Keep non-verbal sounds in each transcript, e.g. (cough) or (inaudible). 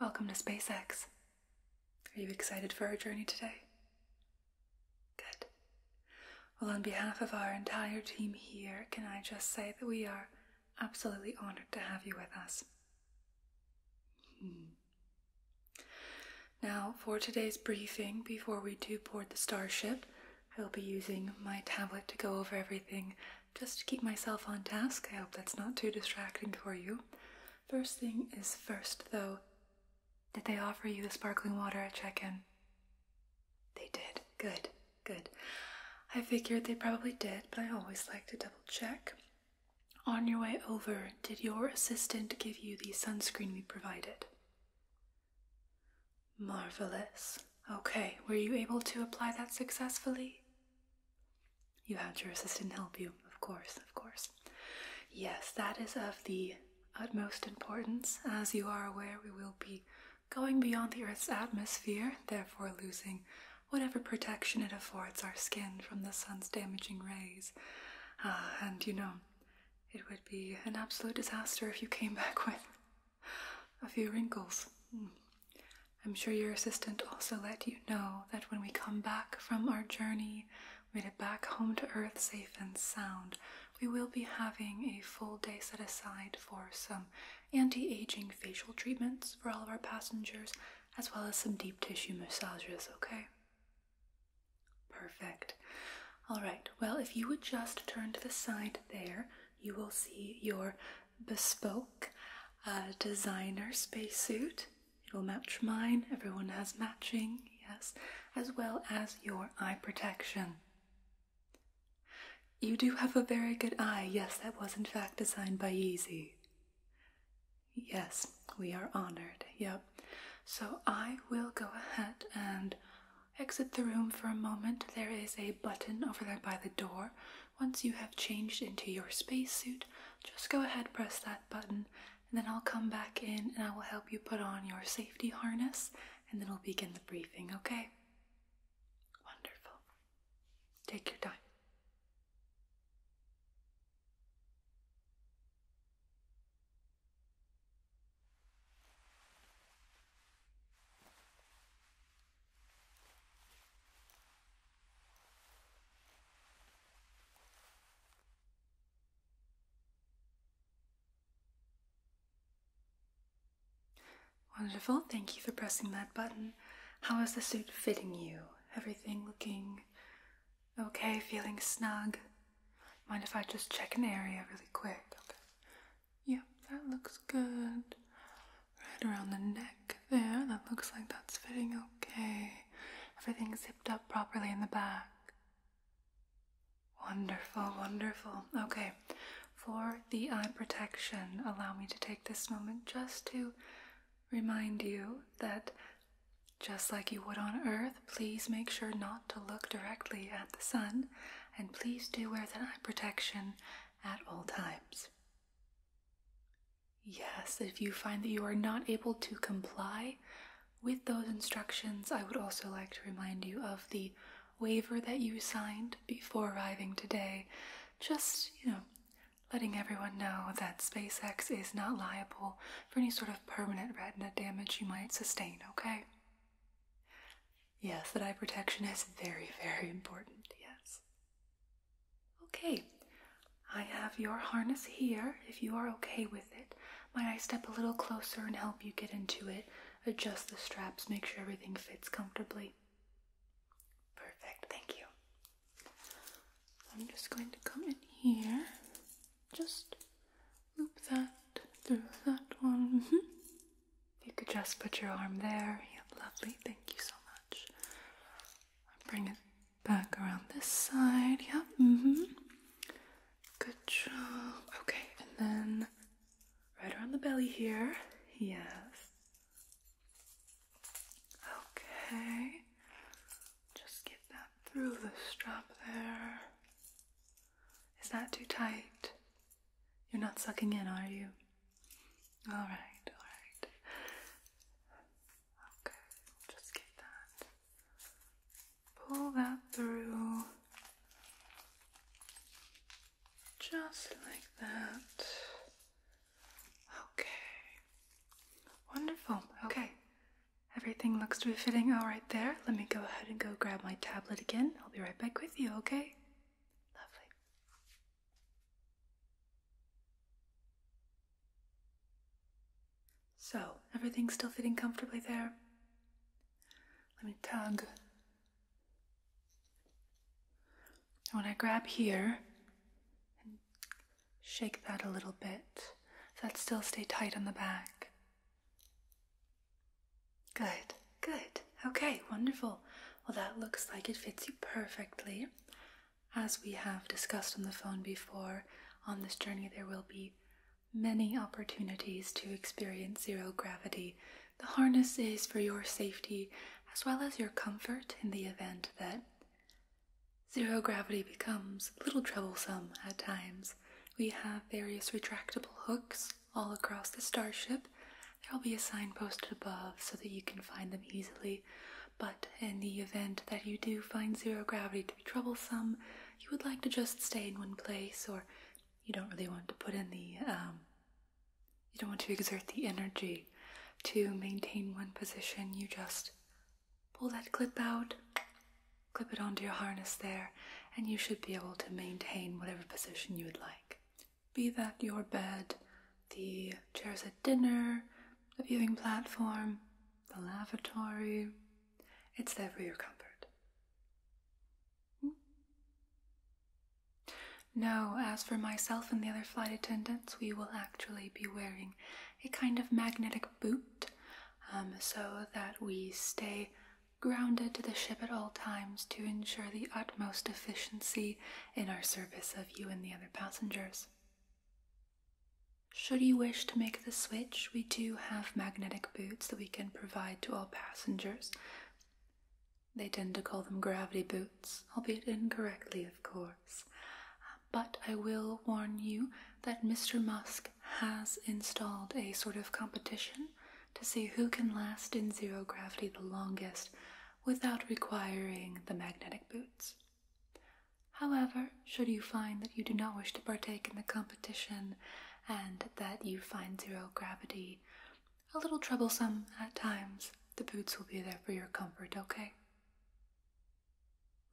Welcome to SpaceX. Are you excited for our journey today? Good. Well, on behalf of our entire team here, can I just say that we are absolutely honored to have you with us. Hmm. Now, for today's briefing, before we do board the starship, I will be using my tablet to go over everything just to keep myself on task. I hope that's not too distracting for you. First thing is first, though, did they offer you the sparkling water at check in? They did. Good, good. I figured they probably did, but I always like to double check. On your way over, did your assistant give you the sunscreen we provided? Marvelous. Okay, were you able to apply that successfully? You had your assistant help you, of course, of course. Yes, that is of the utmost importance. As you are aware, we will be going beyond the Earth's atmosphere, therefore losing whatever protection it affords our skin from the sun's damaging rays. Uh, and you know, it would be an absolute disaster if you came (laughs) back with a few wrinkles. Mm. I'm sure your assistant also let you know that when we come back from our journey, made it back home to Earth safe and sound, we will be having a full day set aside for some anti aging facial treatments for all of our passengers, as well as some deep tissue massages, okay? Perfect. Alright, well, if you would just turn to the side there you will see your bespoke uh, designer spacesuit. It will match mine, everyone has matching, yes, as well as your eye protection. You do have a very good eye, yes, that was in fact designed by Yeezy. Yes, we are honored, yep. So I will go ahead and Exit the room for a moment. There is a button over there by the door. Once you have changed into your spacesuit, just go ahead, press that button, and then I'll come back in and I will help you put on your safety harness and then we'll begin the briefing, okay? Wonderful. Take your time. Wonderful, thank you for pressing that button. How is the suit fitting you? Everything looking okay, feeling snug? Mind if I just check an area really quick? Yep, that looks good. Right around the neck there, that looks like that's fitting okay. everything zipped up properly in the back. Wonderful, wonderful. Okay, for the eye protection, allow me to take this moment just to remind you that just like you would on Earth, please make sure not to look directly at the sun and please do wear that eye protection at all times. Yes, if you find that you are not able to comply with those instructions, I would also like to remind you of the waiver that you signed before arriving today. Just, you know, letting everyone know that SpaceX is not liable for any sort of permanent retina damage you might sustain, okay? Yes, that eye protection is very, very important. Yes. Okay, I have your harness here if you are okay with it. Might I step a little closer and help you get into it? Adjust the straps, make sure everything fits comfortably. Perfect, thank you. I'm just going to come in here, just loop that through that one. Mm-hmm. You could just put your arm there. Yep, lovely. Thank you so much. Bring it back around this side. Yep. Mm-hmm. Good job. Okay, and then right around the belly here. Yes. Okay. Just get that through the strap there. Is that too tight? You're not sucking in, are you? All right, all right. Okay, just get that. Pull that through. Just like that. Okay. Wonderful. Okay. Everything looks to be fitting all right there. Let me go ahead and go grab my tablet again. I'll be right back with you, okay? Lovely. So, everything's still fitting comfortably there. Let me tug. when I grab here and shake that a little bit, that still stay tight on the back. Good, good. Okay, wonderful. Well, that looks like it fits you perfectly. As we have discussed on the phone before, on this journey there will be many opportunities to experience zero gravity. The harness is for your safety as well as your comfort in the event that zero gravity becomes a little troublesome at times. We have various retractable hooks all across the starship. There will be a sign posted above so that you can find them easily. But in the event that you do find zero gravity to be troublesome, you would like to just stay in one place, or you don't really want to put in the, um, you don't want to exert the energy to maintain one position, you just pull that clip out, clip it onto your harness there, and you should be able to maintain whatever position you would like. Be that your bed, the chairs at dinner, the viewing platform, the lavatory, it's there for your comfort. Hmm? No, as for myself and the other flight attendants, we will actually be wearing a kind of magnetic boot um, so that we stay grounded to the ship at all times to ensure the utmost efficiency in our service of you and the other passengers. Should you wish to make the switch, we do have magnetic boots that we can provide to all passengers. They tend to call them gravity boots, albeit incorrectly, of course. But I will warn you that Mr. Musk has installed a sort of competition to see who can last in zero gravity the longest without requiring the magnetic boots. However, should you find that you do not wish to partake in the competition and that you find zero gravity a little troublesome at times, the boots will be there for your comfort, okay?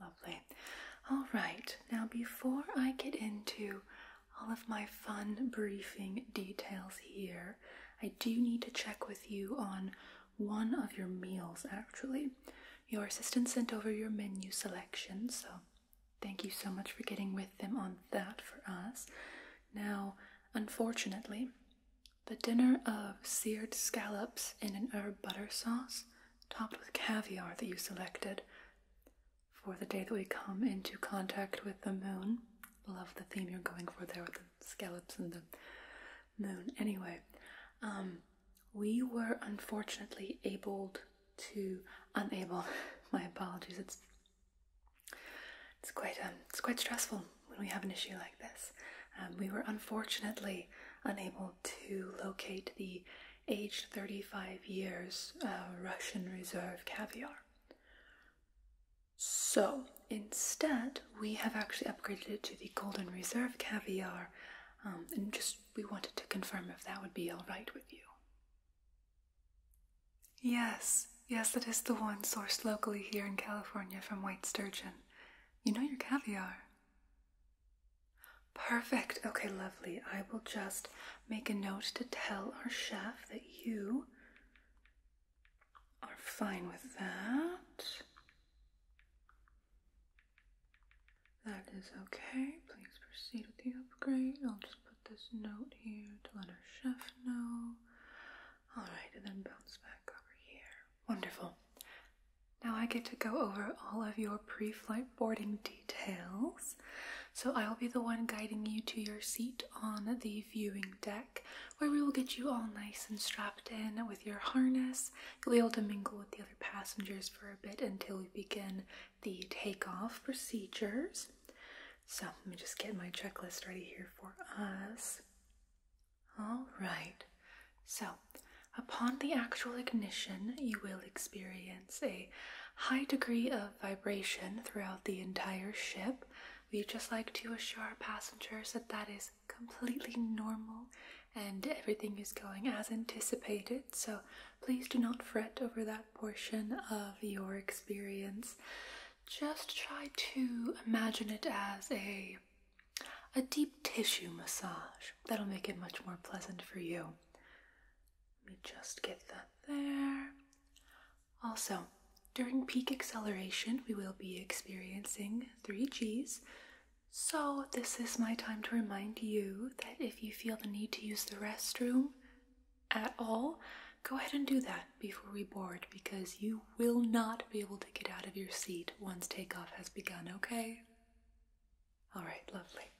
Lovely. All right, now before I get into all of my fun briefing details here. I do need to check with you on one of your meals actually. Your assistant sent over your menu selection, so thank you so much for getting with them on that for us. Now, unfortunately, the dinner of seared scallops in an herb butter sauce, topped with caviar that you selected for the day that we come into contact with the moon, love the theme you're going for there with the scallops and the moon. Anyway, um, we were unfortunately able to unable. (laughs) My apologies. It's it's quite um, it's quite stressful when we have an issue like this. Um, we were unfortunately unable to locate the aged 35 years uh, Russian reserve caviar. So instead, we have actually upgraded it to the Golden Reserve Caviar, um, and just we wanted to confirm if that would be all right with you. Yes, yes, it is the one sourced locally here in California from white sturgeon. You know your caviar. Perfect. Okay, lovely. I will just make a note to tell our chef that you are fine with that. That is okay. Please proceed with the upgrade. I'll just put this note here to let our chef know. Alright, and then bounce back over here. Wonderful. Now I get to go over all of your pre flight boarding details. So I'll be the one guiding you to your seat on the viewing deck where we will get you all nice and strapped in with your harness. You'll be able to mingle with the other passengers for a bit until we begin the takeoff procedures. So let me just get my checklist ready here for us. All right, so upon the actual ignition, you will experience a high degree of vibration throughout the entire ship. We just like to assure our passengers that that is completely normal and everything is going as anticipated. So please do not fret over that portion of your experience. Just try to imagine it as a a deep tissue massage. That'll make it much more pleasant for you. Let me just get that there. Also, during peak acceleration, we will be experiencing three Gs. So, this is my time to remind you that if you feel the need to use the restroom at all, go ahead and do that before we board because you will not be able to get out of your seat once takeoff has begun, okay? Alright, lovely.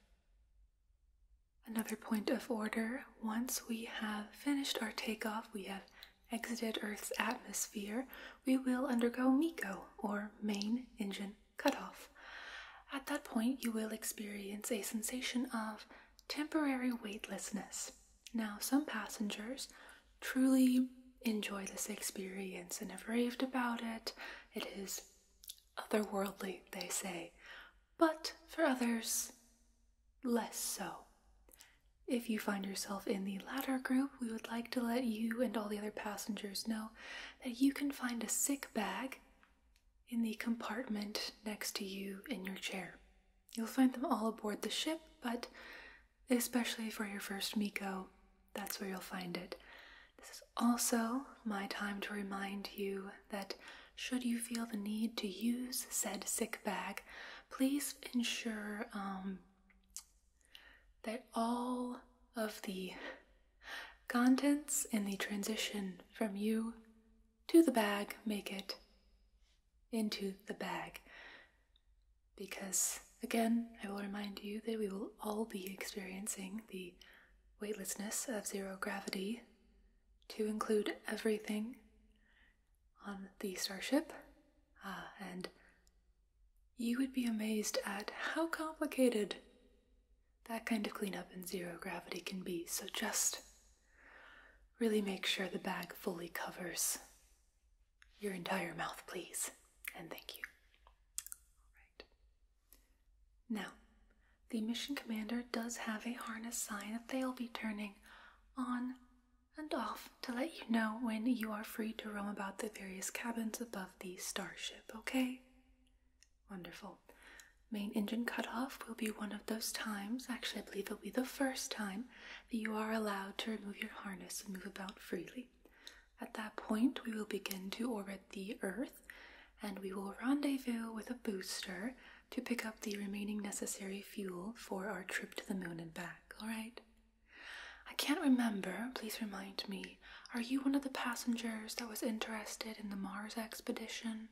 Another point of order once we have finished our takeoff, we have exited Earth's atmosphere, we will undergo MECO, or main engine cutoff. At that point, you will experience a sensation of temporary weightlessness. Now, some passengers truly enjoy this experience and have raved about it. It is otherworldly, they say but for others, less so. If you find yourself in the latter group, we would like to let you and all the other passengers know that you can find a sick bag in the compartment next to you in your chair. You'll find them all aboard the ship, but especially for your first Miko, that's where you'll find it. This is also my time to remind you that should you feel the need to use said sick bag, please ensure um, that all of the contents in the transition from you to the bag make it into the bag. Because again, I will remind you that we will all be experiencing the weightlessness of zero gravity to include everything on the starship, uh, and you would be amazed at how complicated that kind of cleanup in zero gravity can be. So just really make sure the bag fully covers your entire mouth, please. And thank you. All right. Now, the mission commander does have a harness sign that they'll be turning on and off to let you know when you are free to roam about the various cabins above the starship, okay? Wonderful. Main engine cutoff will be one of those times, actually, I believe it'll be the first time, that you are allowed to remove your harness and move about freely. At that point, we will begin to orbit the Earth and we will rendezvous with a booster to pick up the remaining necessary fuel for our trip to the moon and back, alright? I can't remember, please remind me. Are you one of the passengers that was interested in the Mars expedition?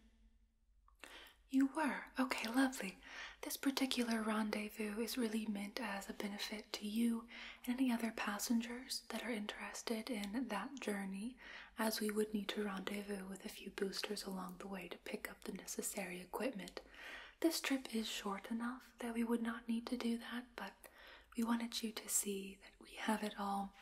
You were. Okay, lovely. This particular rendezvous is really meant as a benefit to you and any other passengers that are interested in that journey, as we would need to rendezvous with a few boosters along the way to pick up the necessary equipment. This trip is short enough that we would not need to do that, but we wanted you to see that we have it all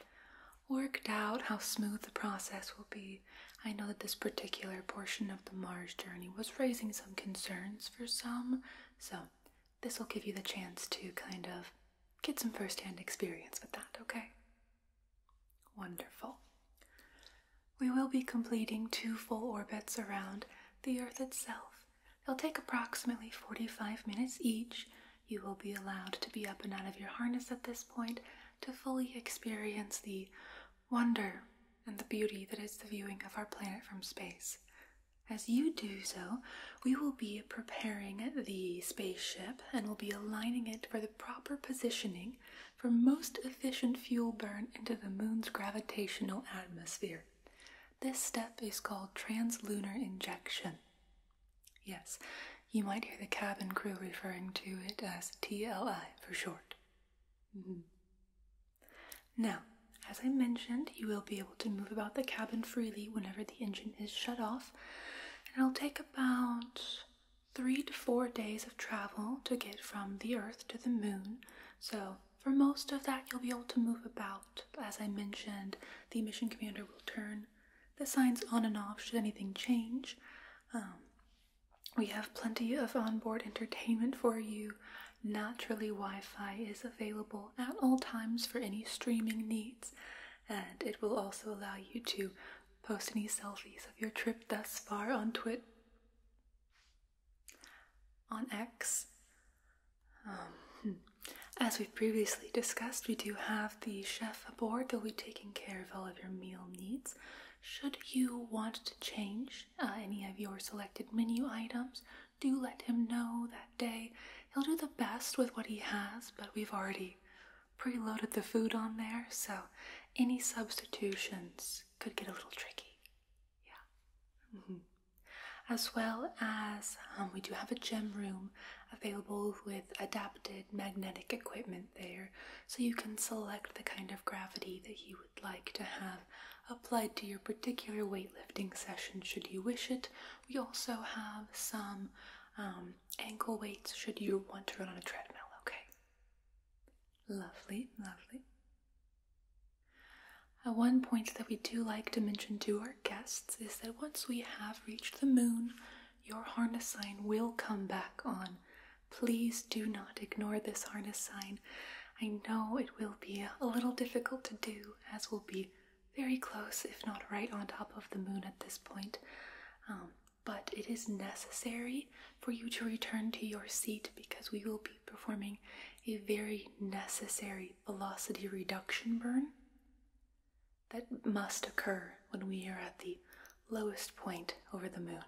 worked out, how smooth the process will be. I know that this particular portion of the Mars journey was raising some concerns for some, so this will give you the chance to kind of get some first hand experience with that, okay? Wonderful. We will be completing two full orbits around the Earth itself. They'll take approximately 45 minutes each. You will be allowed to be up and out of your harness at this point to fully experience the wonder and the beauty that is the viewing of our planet from space. As you do so, we will be preparing the spaceship and will be aligning it for the proper positioning for most efficient fuel burn into the moon's gravitational atmosphere. This step is called translunar injection. Yes, you might hear the cabin crew referring to it as TLI for short. Mm-hmm. Now, as I mentioned, you will be able to move about the cabin freely whenever the engine is shut off, and it'll take about three to four days of travel to get from the Earth to the Moon. So, for most of that, you'll be able to move about. As I mentioned, the mission commander will turn the signs on and off should anything change. Um, we have plenty of onboard entertainment for you. Naturally, Wi Fi is available at all times for any streaming needs, and it will also allow you to Post any selfies of your trip thus far on Twit. On X, um, hmm. as we've previously discussed, we do have the chef aboard that will be taking care of all of your meal needs. Should you want to change uh, any of your selected menu items, do let him know that day. He'll do the best with what he has, but we've already preloaded the food on there, so any substitutions could get a little tricky. Yeah. Mm-hmm. As well as um, we do have a gym room available with adapted magnetic equipment there, so you can select the kind of gravity that you would like to have applied to your particular weightlifting session should you wish it. We also have some um, ankle weights should you want to run on a treadmill, okay? Lovely, lovely. Uh, one point that we do like to mention to our guests is that once we have reached the moon, your harness sign will come back on. Please do not ignore this harness sign. I know it will be a little difficult to do, as we'll be very close, if not right on top of the moon at this point. Um, but it is necessary for you to return to your seat because we will be performing a very necessary velocity reduction burn that must occur when we are at the lowest point over the moon.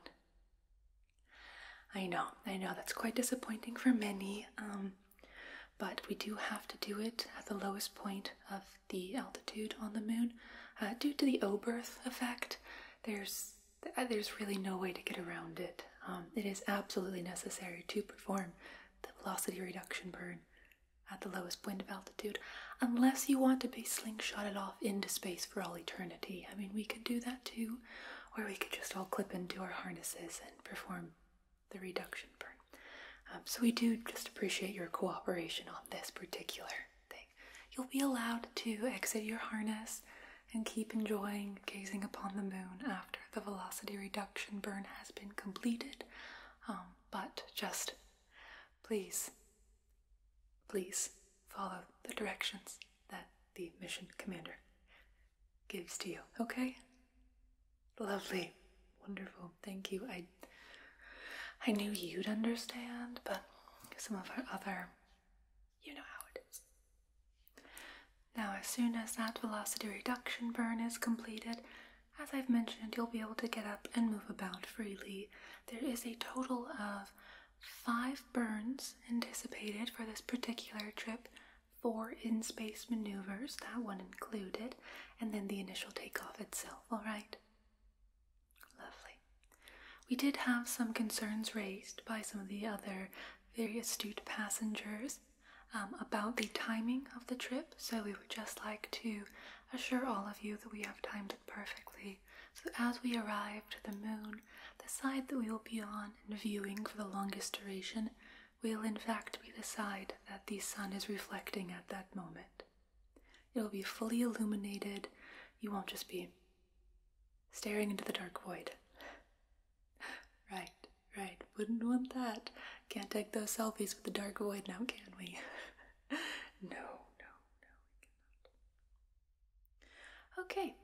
I know, I know that's quite disappointing for many, um, but we do have to do it at the lowest point of the altitude on the moon uh, due to the O effect there's uh, there's really no way to get around it. Um, it is absolutely necessary to perform the velocity reduction burn at the lowest point of altitude, unless you want to be slingshotted off into space for all eternity. I mean, we could do that too, or we could just all clip into our harnesses and perform the reduction burn. Um, so we do just appreciate your cooperation on this particular You'll be allowed to exit your harness and keep enjoying gazing upon the moon after the velocity reduction burn has been completed. Um, but just please, please follow the directions that the mission commander gives to you, okay? Lovely, wonderful, thank you. I I knew you'd understand, but some of our other. you know how it is. Now, as soon as that velocity reduction burn is completed, as I've mentioned, you'll be able to get up and move about freely. There is a total of five burns anticipated for this particular trip four in space maneuvers, that one included, and then the initial takeoff itself, alright? Lovely. We did have some concerns raised by some of the other very astute passengers um, about the timing of the trip, so we would just like to assure all of you that we have timed it perfectly. So as we arrive to the moon, the side that we will be on and viewing for the longest duration will in fact be the side that the sun is reflecting at that moment. It'll be fully illuminated. You won't just be staring into the dark void. (sighs) right, right. Wouldn't want that. Can't take those selfies with the dark void now, can we? (laughs) no, no, no, we cannot. Okay.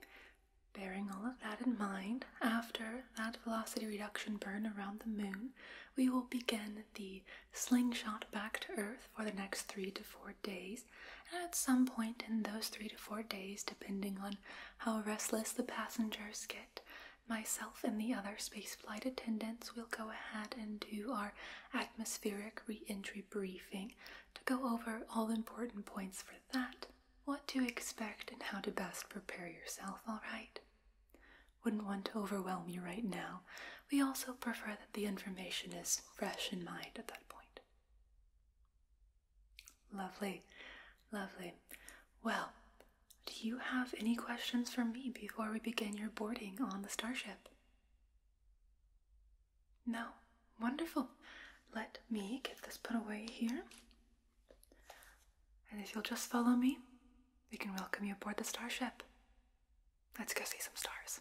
Bearing all of that in mind, after that velocity reduction burn around the moon, we will begin the slingshot back to Earth for the next three to four days, and at some point in those three to four days, depending on how restless the passengers get, myself and the other spaceflight attendants will go ahead and do our atmospheric reentry briefing to go over all important points for that, what to expect, and how to best prepare yourself, alright? Wouldn't want to overwhelm you right now. We also prefer that the information is fresh in mind at that point. Lovely, lovely. Well, do you have any questions for me before we begin your boarding on the starship? No? Wonderful. Let me get this put away here. And if you'll just follow me, we can welcome you aboard the starship. Let's go see some stars.